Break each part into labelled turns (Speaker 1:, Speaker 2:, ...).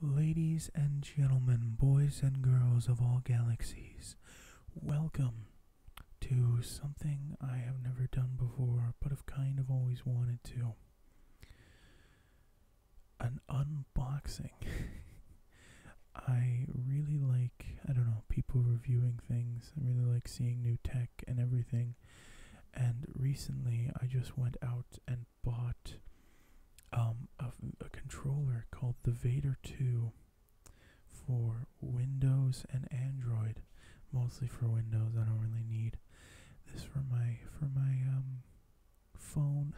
Speaker 1: Ladies and gentlemen, boys and girls of all galaxies, welcome to something I have never done before but have kind of always wanted to an unboxing. I really like, I don't know, people reviewing things. I really like seeing new tech and everything. And recently I just went out and bought um, a, a controller called the Vader 2 for Windows and Android, mostly for Windows. I don't really need this for my for my um, phone,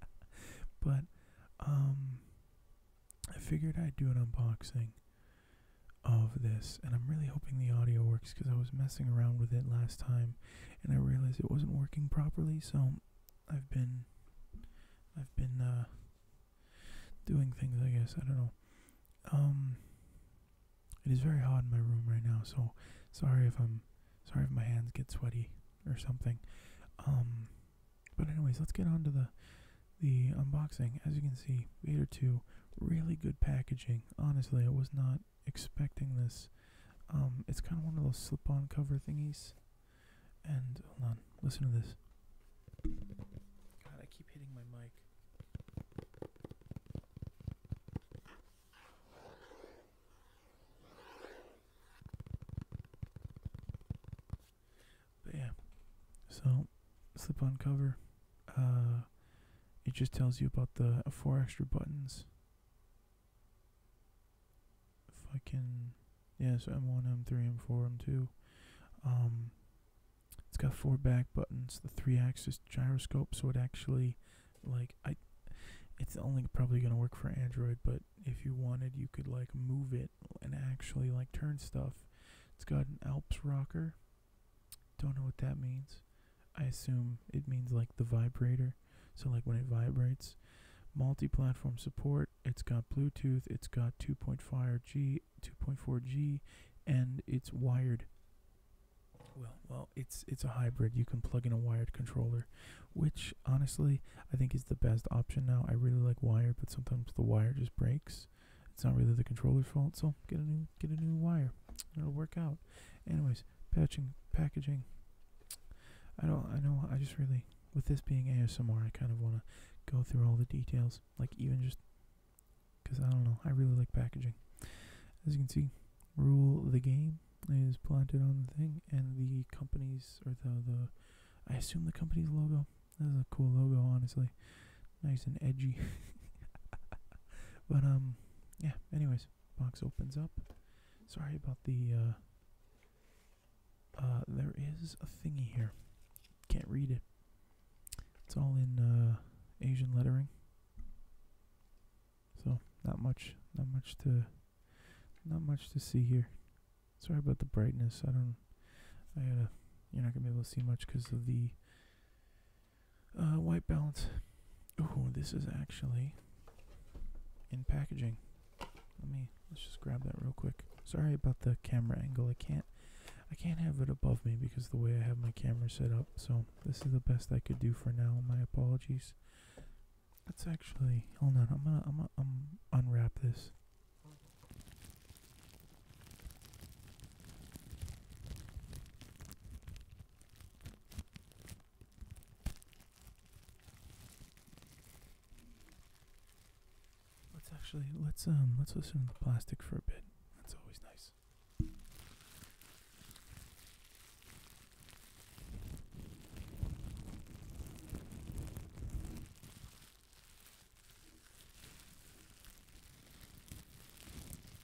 Speaker 1: but um, I figured I'd do an unboxing of this, and I'm really hoping the audio works because I was messing around with it last time and I realized it wasn't working properly, so I've been I've been uh, doing things I guess, I don't know. Um, it is very hot in my room right now, so sorry if I'm sorry if my hands get sweaty or something. Um, but anyways, let's get on to the the unboxing. As you can see, Vader 2, really good packaging. Honestly, it was not expecting this. Um, it's kind of one of those slip-on cover thingies. And hold on, listen to this. God, I keep hitting my mic. But yeah, so slip-on cover. Uh, it just tells you about the four extra buttons fucking yeah, so M1, M3, M4, M2. Um, it's got four back buttons, the three-axis gyroscope, so it actually like I. It's only probably gonna work for Android, but if you wanted, you could like move it and actually like turn stuff. It's got an Alps rocker. Don't know what that means. I assume it means like the vibrator. So like when it vibrates. Multi-platform support. It's got Bluetooth. It's got 2.5G, 2.4G, and it's wired. Well, well, it's it's a hybrid. You can plug in a wired controller, which honestly I think is the best option now. I really like wired, but sometimes the wire just breaks. It's not really the controller's fault, so get a new get a new wire. It'll work out. Anyways, patching, packaging. I don't, I know, I just really, with this being ASMR, I kind of want to go through all the details, like even just, because I don't know, I really like packaging. As you can see, rule the game is planted on the thing, and the company's, or the, the, I assume the company's logo. This is a cool logo, honestly. Nice and edgy. but, um, yeah, anyways, box opens up. Sorry about the. Uh, uh, there is a thingy here. Can't read it. It's all in uh, Asian lettering. So not much, not much to, not much to see here. Sorry about the brightness. I don't. I gotta. You're not gonna be able to see much because of the uh, white balance. Oh, this is actually in packaging. Let me let's just grab that real quick. Sorry about the camera angle. I can't I can't have it above me because the way I have my camera set up. So this is the best I could do for now. My apologies. That's actually hold on. I'm gonna I'm gonna um, unwrap this. Let's actually let's um let's listen to the plastic for a bit. That's always nice.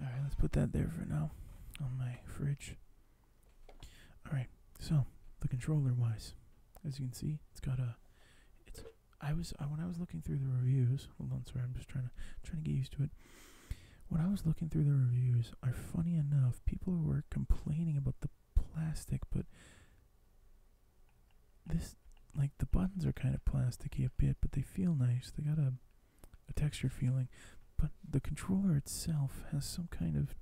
Speaker 1: Alright, let's put that there for now on my fridge. Alright, so the controller wise, as you can see, it's got a it's I was uh, when I was looking through the reviews, hold on, sorry, I'm just trying to trying to get used to it. When I was looking through the reviews, are funny enough, people were complaining about the plastic, but this, like, the buttons are kind of plasticky a bit, but they feel nice. They got a, a texture feeling. But the controller itself has some kind of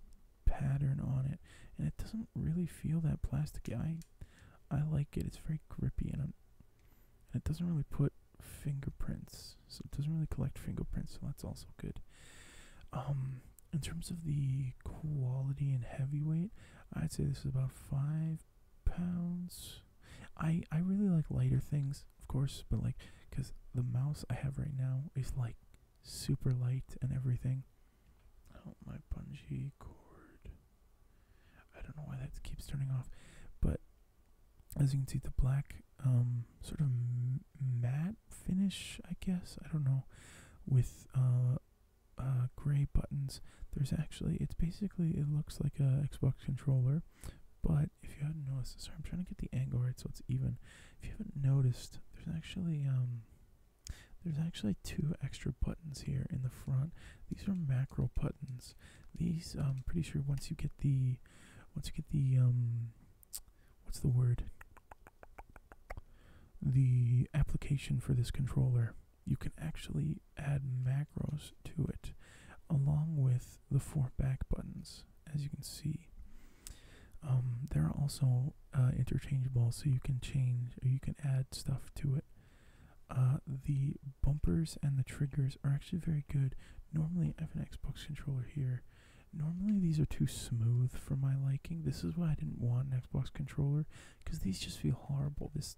Speaker 1: pattern on it, and it doesn't really feel that plasticky. I, I like it. It's very grippy, and, and it doesn't really put fingerprints, so it doesn't really collect fingerprints. So that's also good. Um, in terms of the quality and heavyweight, I'd say this is about five pounds. I I really like lighter things, of course, but like because the mouse I have right now is like super light and everything. Oh my bungee cord. I don't know why that keeps turning off, but as you can see, the black um sort of matte finish, I guess I don't know, with uh uh, gray buttons. There's actually, it's basically, it looks like a Xbox controller, but if you haven't noticed, sorry, I'm trying to get the angle right so it's even. If you haven't noticed, there's actually, um, there's actually two extra buttons here in the front. These are macro buttons. These, um, I'm pretty sure once you get the, once you get the, um, what's the word? The application for this controller you can actually add macros to it along with the four back buttons, as you can see. Um, they're also uh, interchangeable, so you can change you can add stuff to it. Uh, the bumpers and the triggers are actually very good. Normally, I have an Xbox controller here. Normally, these are too smooth for my liking. This is why I didn't want an Xbox controller because these just feel horrible. This,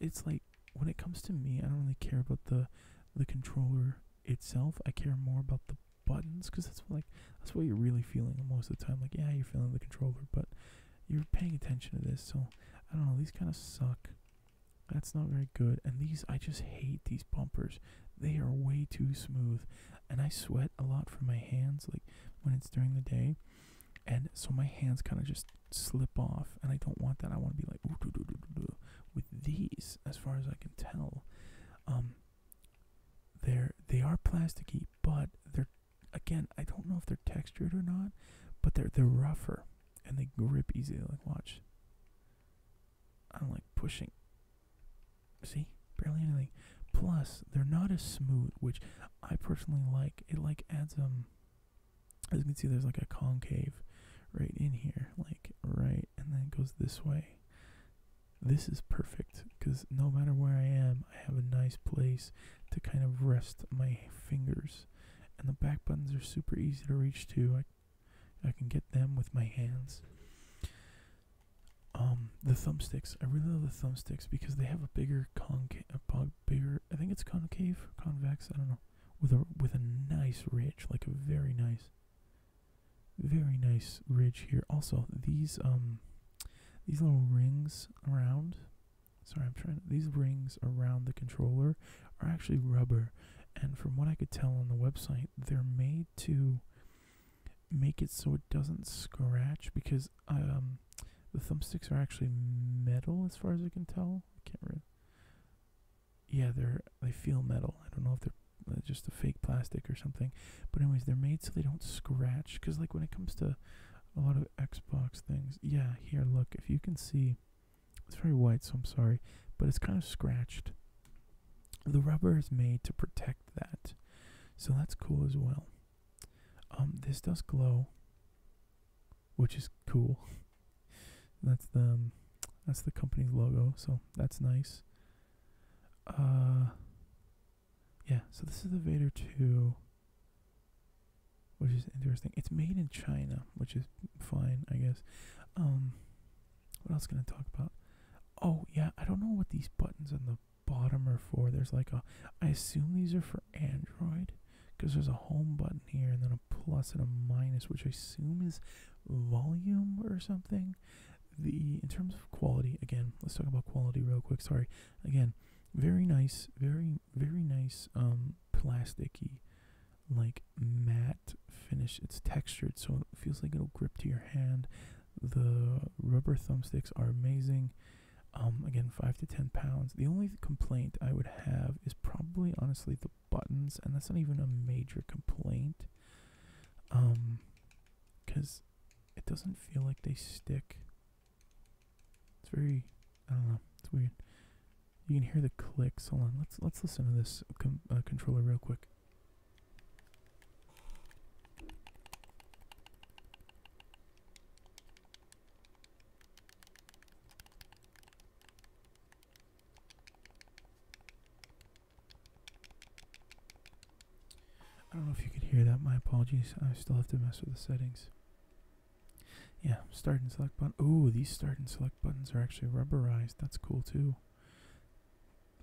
Speaker 1: it's like when it comes to me, I don't really care about the the controller itself. I care more about the buttons because that's like that's what you're really feeling most of the time. Like yeah, you're feeling the controller, but you're paying attention to this. So I don't know. These kind of suck. That's not very good. And these, I just hate these bumpers. They are way too smooth, and I sweat a lot from my hands. Like when it's during the day, and so my hands kind of just slip off and i don't want that i want to be like with these as far as i can tell um they're they are plasticky but they're again i don't know if they're textured or not but they're they're rougher and they grip easily like watch i'm like pushing see barely anything plus they're not as smooth which I personally like it. Like adds um, as you can see, there's like a concave right in here, like right, and then goes this way. This is perfect because no matter where I am, I have a nice place to kind of rest my fingers, and the back buttons are super easy to reach too. I, I can get them with my hands. Um, the thumbsticks. I really love the thumbsticks because they have a bigger concave, probably bigger. I think it's concave, convex. I don't know. With a with a nice ridge, like a very nice, very nice ridge here. Also, these um, these little rings around. Sorry, I'm trying. these rings around the controller are actually rubber, and from what I could tell on the website, they're made to make it so it doesn't scratch because um the thumbsticks are actually metal, as far as I can tell. I can't really. Yeah, they're they feel metal. I don't know if they're uh, just a fake plastic or something. But anyways, they're made so they don't scratch. Cause like when it comes to a lot of Xbox things, yeah. Here, look. If you can see, it's very white, so I'm sorry, but it's kind of scratched. The rubber is made to protect that, so that's cool as well. Um, this does glow, which is cool. that's the um, that's the company's logo, so that's nice. Uh, yeah. So this is the Vader two, which is interesting. It's made in China, which is fine, I guess. Um, what else can I talk about? Oh yeah, I don't know what these buttons on the bottom are for, there's like a, I assume these are for Android because there's a home button here and then a plus and a minus, which I assume is volume or something. The in terms of quality, again, let's talk about quality real quick. Sorry, again, very nice, very very nice, um, plasticky, like matte finish. It's textured, so it feels like it'll grip to your hand. The rubber thumbsticks are amazing. Um, again, five to ten pounds. The only complaint I would have is probably, honestly, the buttons, and that's not even a major complaint. Um, because it doesn't feel like they stick. It's very, I don't know, it's weird. You can hear the clicks. Hold on, let's let's listen to this uh, controller real quick. I don't know if you could hear that. My apologies. I still have to mess with the settings. Yeah, start and select button. Oh, these start and select buttons are actually rubberized. That's cool too.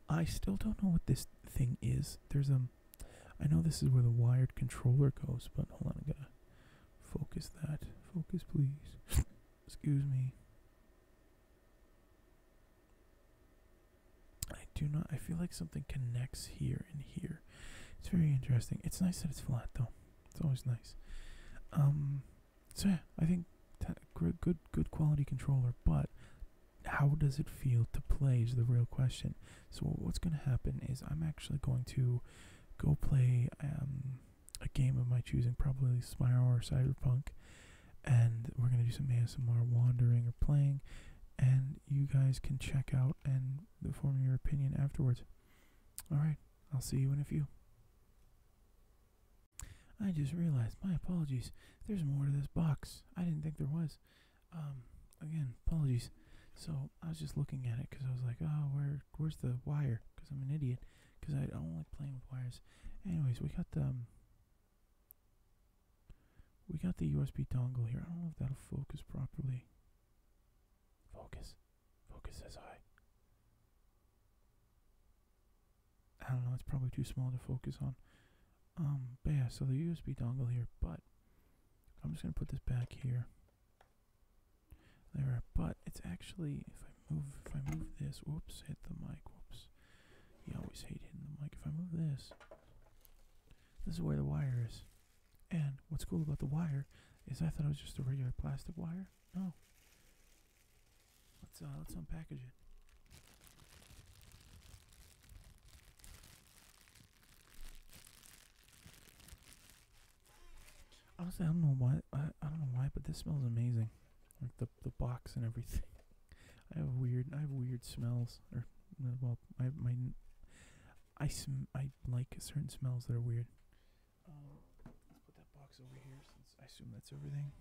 Speaker 1: I still don't know what this thing is. There's a. I know this is where the wired controller goes, but hold on, I am going to focus that. Focus, please. Excuse me. I do not. I feel like something connects here and here. It's very interesting. It's nice that it's flat, though. It's always nice. Um. So yeah, I think good, good, good quality controller, but how does it feel to play is the real question. So what's going to happen is I'm actually going to go play um, a game of my choosing, probably Spyro or Cyberpunk, and we're going to do some ASMR wandering or playing, and you guys can check out and form your opinion afterwards. Alright, I'll see you in a few. I just realized, my apologies, there's more to this box. I didn't think there was. Um, again, apologies. So I was just looking at it because I was like, oh, where, where's the wire? Because I'm an idiot. Because I don't like playing with wires. Anyways, we got the um, we got the USB dongle here. I don't know if that'll focus properly. Focus, focus as I. I don't know. It's probably too small to focus on. Um, yeah, so the USB dongle here, but I'm just going to put this back here. There, but it's actually, if I move, if I move this, whoops, hit the mic, whoops. You always hate hitting the mic. If I move this, this is where the wire is. And what's cool about the wire is I thought it was just a regular plastic wire. No. Let's, uh, let's unpackage it. Honestly, I don't know why. I, I don't know why, but this smells amazing. Like the the box and everything. I have weird. I have weird smells. Or well, I my. I sm I like certain smells that are weird. Um, let's put that box over here since I assume that's everything.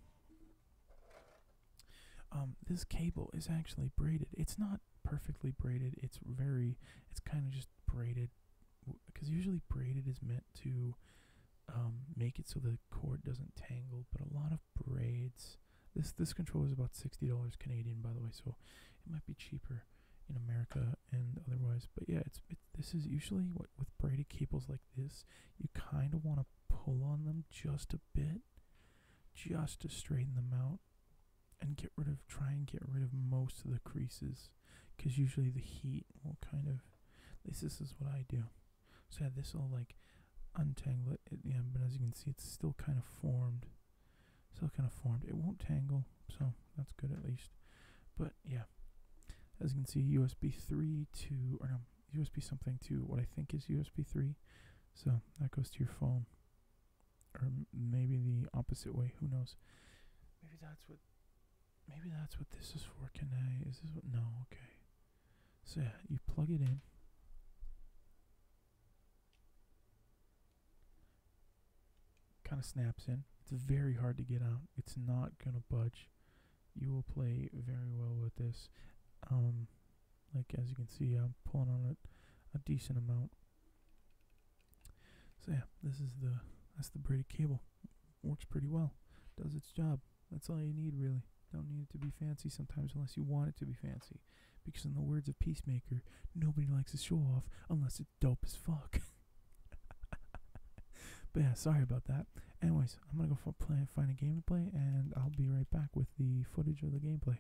Speaker 1: Um, this cable is actually braided. It's not perfectly braided. It's very, it's kind of just braided, because usually braided is meant to um, make it so the cord doesn't tangle. But a lot of braids, this this control is about sixty dollars Canadian, by the way, so it might be cheaper in America and otherwise. But yeah, it's it, this is usually what with braided cables like this, you kind of want to pull on them just a bit, just to straighten them out and get rid of try and get rid of most of the creases because usually the heat will kind of at least this is what I do so yeah, this will like untangle it at the end but as you can see it's still kind of formed still kind of formed it won't tangle so that's good at least but yeah as you can see USB 3 to or no USB something to what I think is USB 3 so that goes to your phone or maybe the opposite way. Who knows? Maybe that's what. Maybe that's what this is for. Can I? Is this what? No. Okay. So yeah, you plug it in. Kind of snaps in. It's very hard to get out. It's not gonna budge. You will play very well with this. Um, like as you can see I'm pulling on it a decent amount so yeah this is the that's the braided cable works pretty well does its job that's all you need really don't need it to be fancy sometimes unless you want it to be fancy because in the words of peacemaker nobody likes a show off unless it's dope as fuck but yeah sorry about that anyways i'm gonna go play find a game to play and i'll be right back with the footage of the gameplay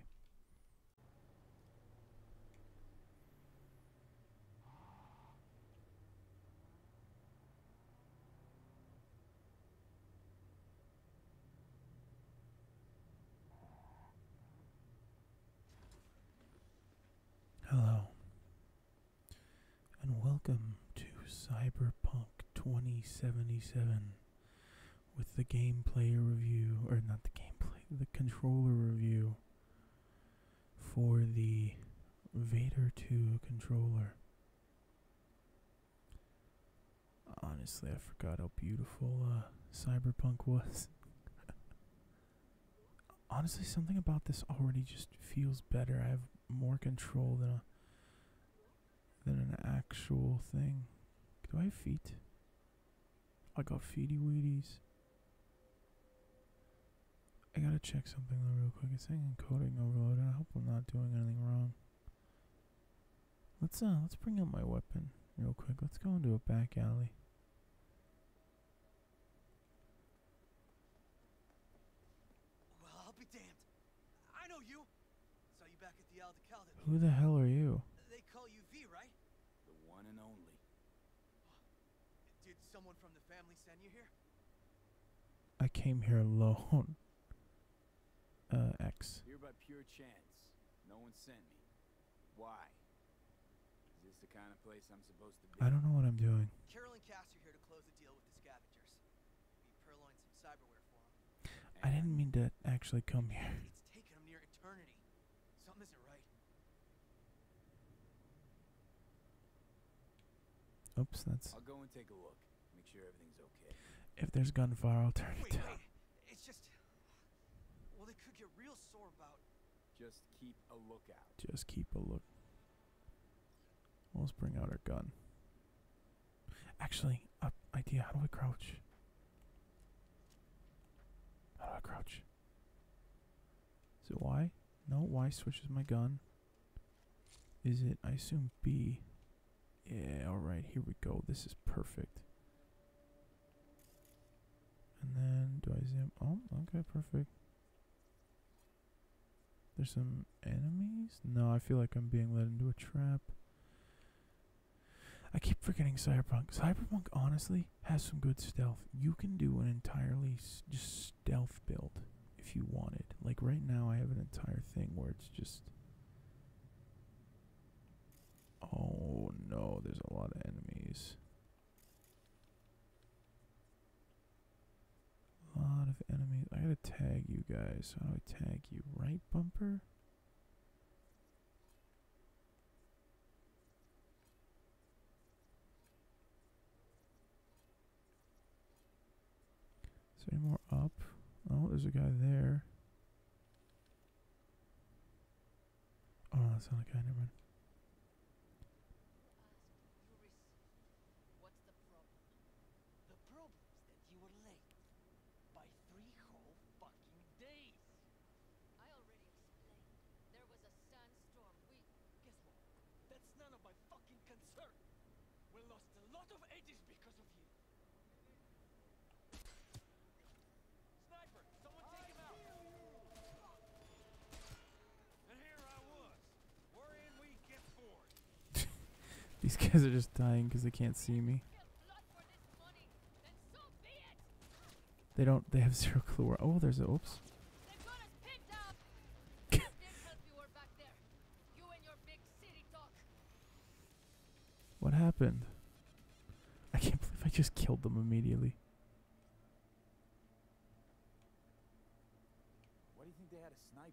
Speaker 1: Hello, and welcome to Cyberpunk 2077 with the gameplay review, or not the gameplay, the controller review for the Vader 2 controller. Honestly, I forgot how beautiful uh, Cyberpunk was. Honestly, something about this already just feels better. I have more control than a than an actual thing. Do I have feet? I got feety weeties. I gotta check something real quick. It's saying encoding overload, and I hope I'm not doing anything wrong. Let's uh let's bring up my weapon real quick. Let's go into a back alley. Well, I'll be damned. I know you who the hell are you? They call you V, right? The one and only. Did someone from the family send you here? I came here alone. Uh, X. Here by pure chance. No one sent me. Why? Is this the kind of place I'm supposed to be? I don't know what I'm doing. Carol and here to close the deal with the scavengers. We purloined some cyberware for them. I didn't mean to actually come here. Oops, that's. I'll go and take a look. Make sure everything's okay. If there's gunfire, I'll turn it down. Wait. It's just. Well, they could get real sore about. Just keep a lookout. Just keep a look. Let's bring out our gun. Actually, a idea. How do I crouch? How do I crouch? Is it Y? No, Y switches my gun. Is it? I assume B. Yeah, alright, here we go. This is perfect. And then, do I zoom? Oh, okay, perfect. There's some enemies? No, I feel like I'm being led into a trap. I keep forgetting Cyberpunk. Cyberpunk honestly has some good stealth. You can do an entirely just stealth build if you wanted. Like right now I have an entire thing where it's just Oh no, there's a lot of enemies. A lot of enemies. I gotta tag you guys. So I tag you? Right bumper? Is there any more up? Oh, there's a guy there. Oh, that's not a guy, never mind. Uh, the problem is that you were late. By three whole fucking days. I already explained. There was a sandstorm. We... Guess what? That's none of my fucking concern. We lost a lot of edges because of you. Sniper! Someone take him out! And here I was, worrying we get bored. These guys are just dying because they can't see me. They don't. They have zero clue where. Oh, there's a. Oops. what happened? I can't believe I just killed them immediately. Why do you think they had a sniper?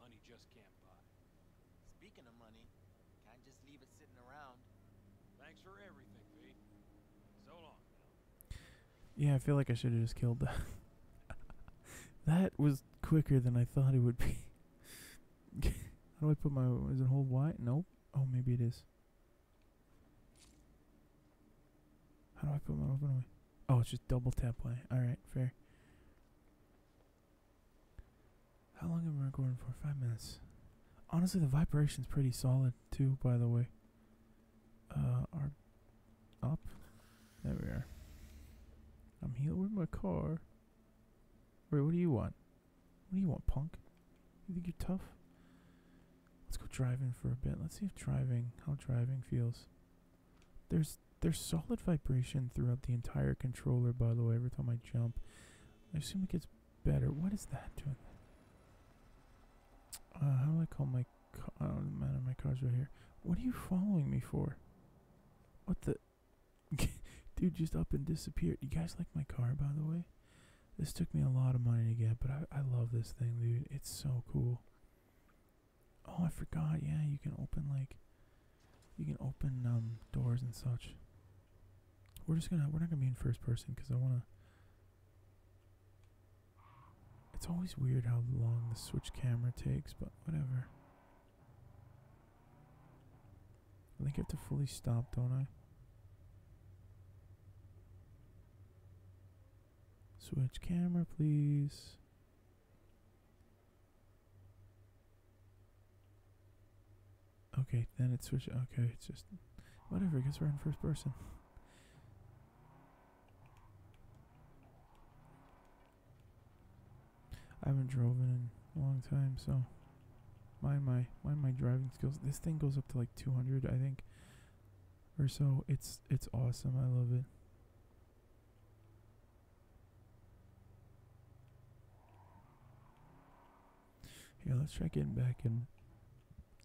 Speaker 1: Money just can't buy. Speaking of money, can't just leave it sitting around. Thanks for everything, V. So long Yeah, I feel like I should have just killed that. that was quicker than I thought it would be. How do I put my... Is it hold Y? Nope. Oh, maybe it is. How do I put my weapon Oh, it's just double tap Y. Alright, fair. How long am I recording for? Five minutes. Honestly, the vibration's pretty solid too. By the way. Uh, are up. There we are. I'm here. with my car? Wait, what do you want? What do you want, punk? You think you're tough? Let's go driving for a bit. Let's see if driving, how driving feels. There's there's solid vibration throughout the entire controller, by the way, every time I jump. I assume it gets better. What is that doing? Uh, how do I call my car? Oh, man, my car's right here. What are you following me for? What the? Dude, just up and disappeared. You guys like my car, by the way? This took me a lot of money to get, but I, I love this thing, dude. It's so cool. Oh, I forgot. Yeah, you can open like you can open um, doors and such. We're just gonna we're not gonna be in first person because I wanna. It's always weird how long the switch camera takes, but whatever. I think I have to fully stop, don't I? Switch camera, please. Okay, then it switches. Okay, it's just whatever. I guess we're in first person. I haven't driven in a long time, so mind my mind my driving skills. This thing goes up to like 200, I think, or so. It's it's awesome. I love it. Yeah, let's try getting back in.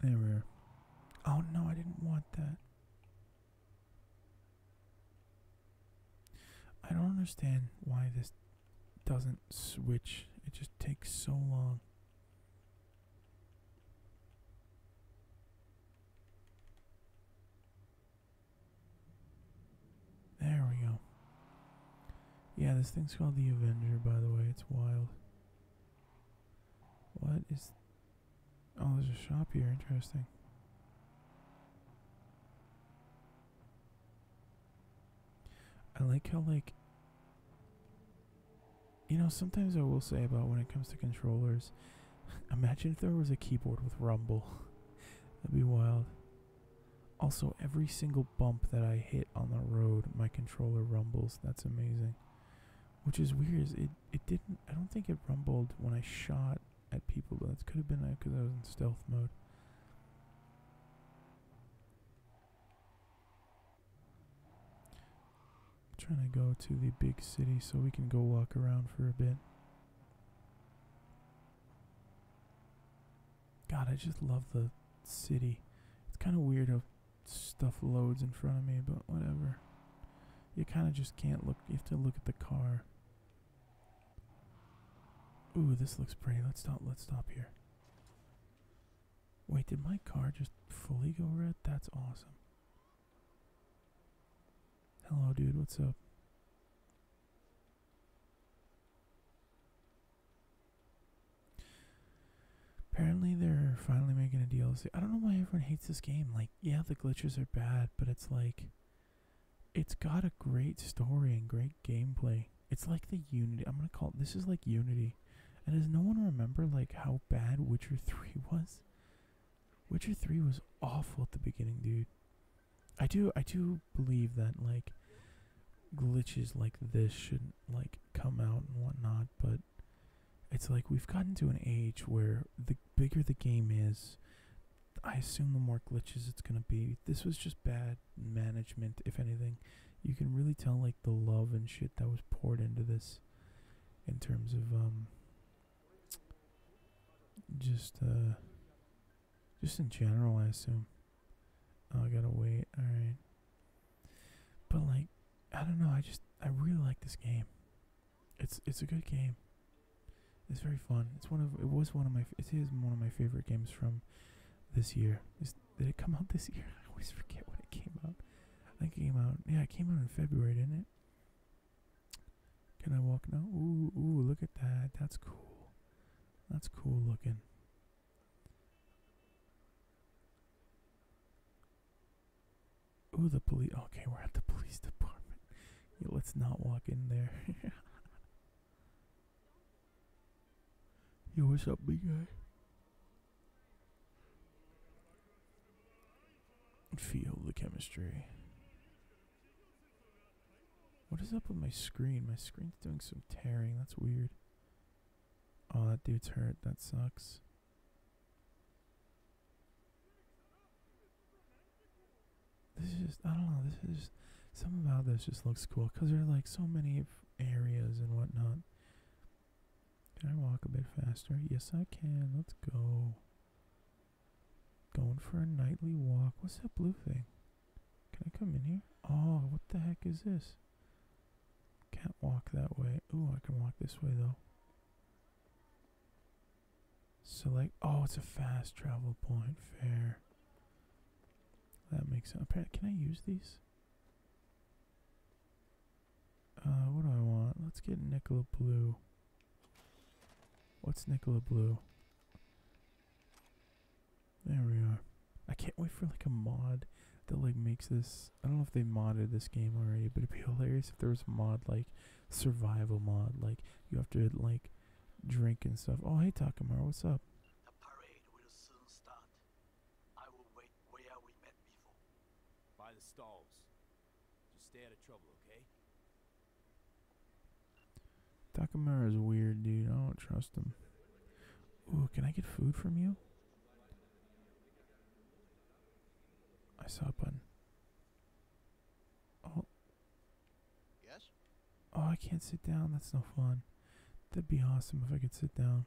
Speaker 1: There we are. Oh no, I didn't want that. I don't understand why this doesn't switch. It just takes so long. There we go. Yeah, this thing's called the Avenger, by the way. It's wild. What is. Oh, there's a shop here. Interesting. I like how, like. You know, sometimes I will say about when it comes to controllers Imagine if there was a keyboard with rumble. That'd be wild. Also, every single bump that I hit on the road, my controller rumbles. That's amazing. Which is weird. Is it it didn't. I don't think it rumbled when I shot at people, but it could have been because I was in stealth mode. trying to go to the big city so we can go walk around for a bit. God, I just love the city. It's kind of weird how stuff loads in front of me, but whatever. You kind of just can't look. You have to look at the car. Ooh, this looks pretty. Let's stop. Let's stop here. Wait, did my car just fully go red? That's awesome. Hello, dude. What's up? Apparently, they're finally making a DLC. I don't know why everyone hates this game. Like, yeah, the glitches are bad, but it's like. It's got a great story and great gameplay. It's like the Unity. I'm gonna call it. This is like Unity. And does no one remember, like, how bad Witcher 3 was? Witcher 3 was awful at the beginning, dude. I do I do believe that like glitches like this should not like come out and whatnot, but it's like we've gotten to an age where the bigger the game is, I assume the more glitches it's gonna be. This was just bad management, if anything. You can really tell like the love and shit that was poured into this in terms of um just, uh, just in general, I assume. Oh, I gotta wait. All right. But like, I don't know. I just, I really like this game. It's, it's a good game. It's very fun. It's one of, it was one of my, it is one of my favorite games from this year. did it come out this year? I always forget when it came out. it came out. Yeah, it came out in February, didn't it? Can I walk now? Ooh, ooh, look at that. That's cool. That's cool looking. Ooh, the police. Okay, we're at the police department. let's not walk in there. Yo, what's up, big guy? Feel the chemistry. What is up with my screen? My screen's doing some tearing. That's weird. Oh, that dude's hurt. That sucks. This is just, I don't know. This is just, about this just looks cool because there are like so many areas and whatnot. Can I walk a bit faster? Yes, I can. Let's go. Going for a nightly walk. What's that blue thing? Can I come in here? Oh, what the heck is this? Can't walk that way. Ooh, I can walk this way though. Select. Oh, it's a fast travel point. Fair. That makes sense. Apparently, can I use these? Uh, what do I want? Let's get Nicola Blue. What's Nicola Blue? There we are. I can't wait for like a mod that like makes this. I don't know if they modded this game already, but it'd be hilarious if there was a mod like survival mod, like you have to like drink and stuff. Oh, hey Takamar, what's up? Just stay out of trouble, okay? Takamura's weird, dude. I don't trust him. Ooh, can I get food from you? I saw a button. Oh. Yes? Oh, I can't sit down. That's no fun. That'd be awesome if I could sit down.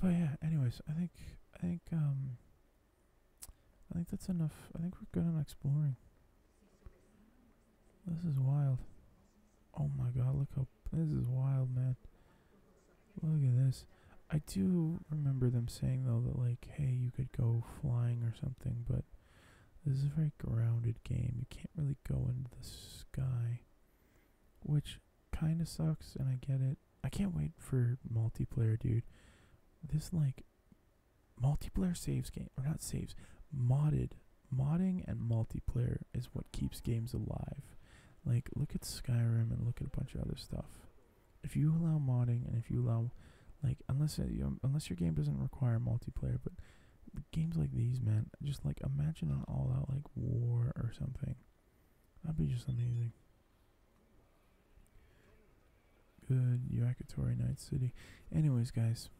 Speaker 1: But yeah, anyways, I think I think um I think that's enough. I think we're good on exploring. This is wild. Oh my god, look how this is wild, man. Look at this. I do remember them saying though that like, hey, you could go flying or something, but this is a very grounded game. You can't really go into the sky, which kind of sucks, and I get it. I can't wait for multiplayer, dude. This, like, multiplayer saves game, or not saves, modded. Modding and multiplayer is what keeps games alive. Like, look at Skyrim and look at a bunch of other stuff. If you allow modding and if you allow, like, unless, uh, you unless your game doesn't require multiplayer, but games like these, man, just like imagine an all out like war or something That'd be just amazing. Good you're Yakutori Night City. Anyways, guys,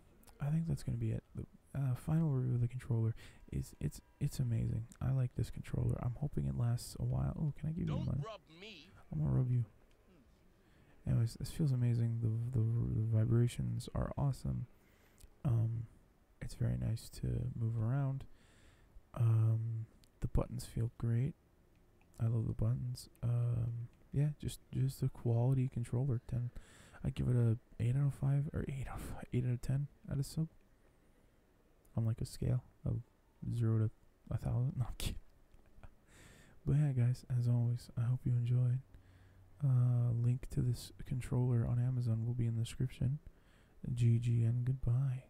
Speaker 1: I think that's gonna be it. The uh, final review of the controller is it's it's amazing. I like this controller. I'm hoping it lasts a while. Oh, can I give Don't you mine? Rub me. I'm gonna rub you. Anyways, this feels amazing. The the, the vibrations are awesome. Um, it's very nice to move around. Um, the buttons feel great. I love the buttons. Um, yeah, just just a quality controller. Ten, I give it a eight out of five or eight out eight out of ten out of sub. On like a scale of zero to a thousand. No, kidding. but yeah, guys, as always, I hope you enjoyed. Uh, link to this controller on Amazon will be in the description. GG and goodbye.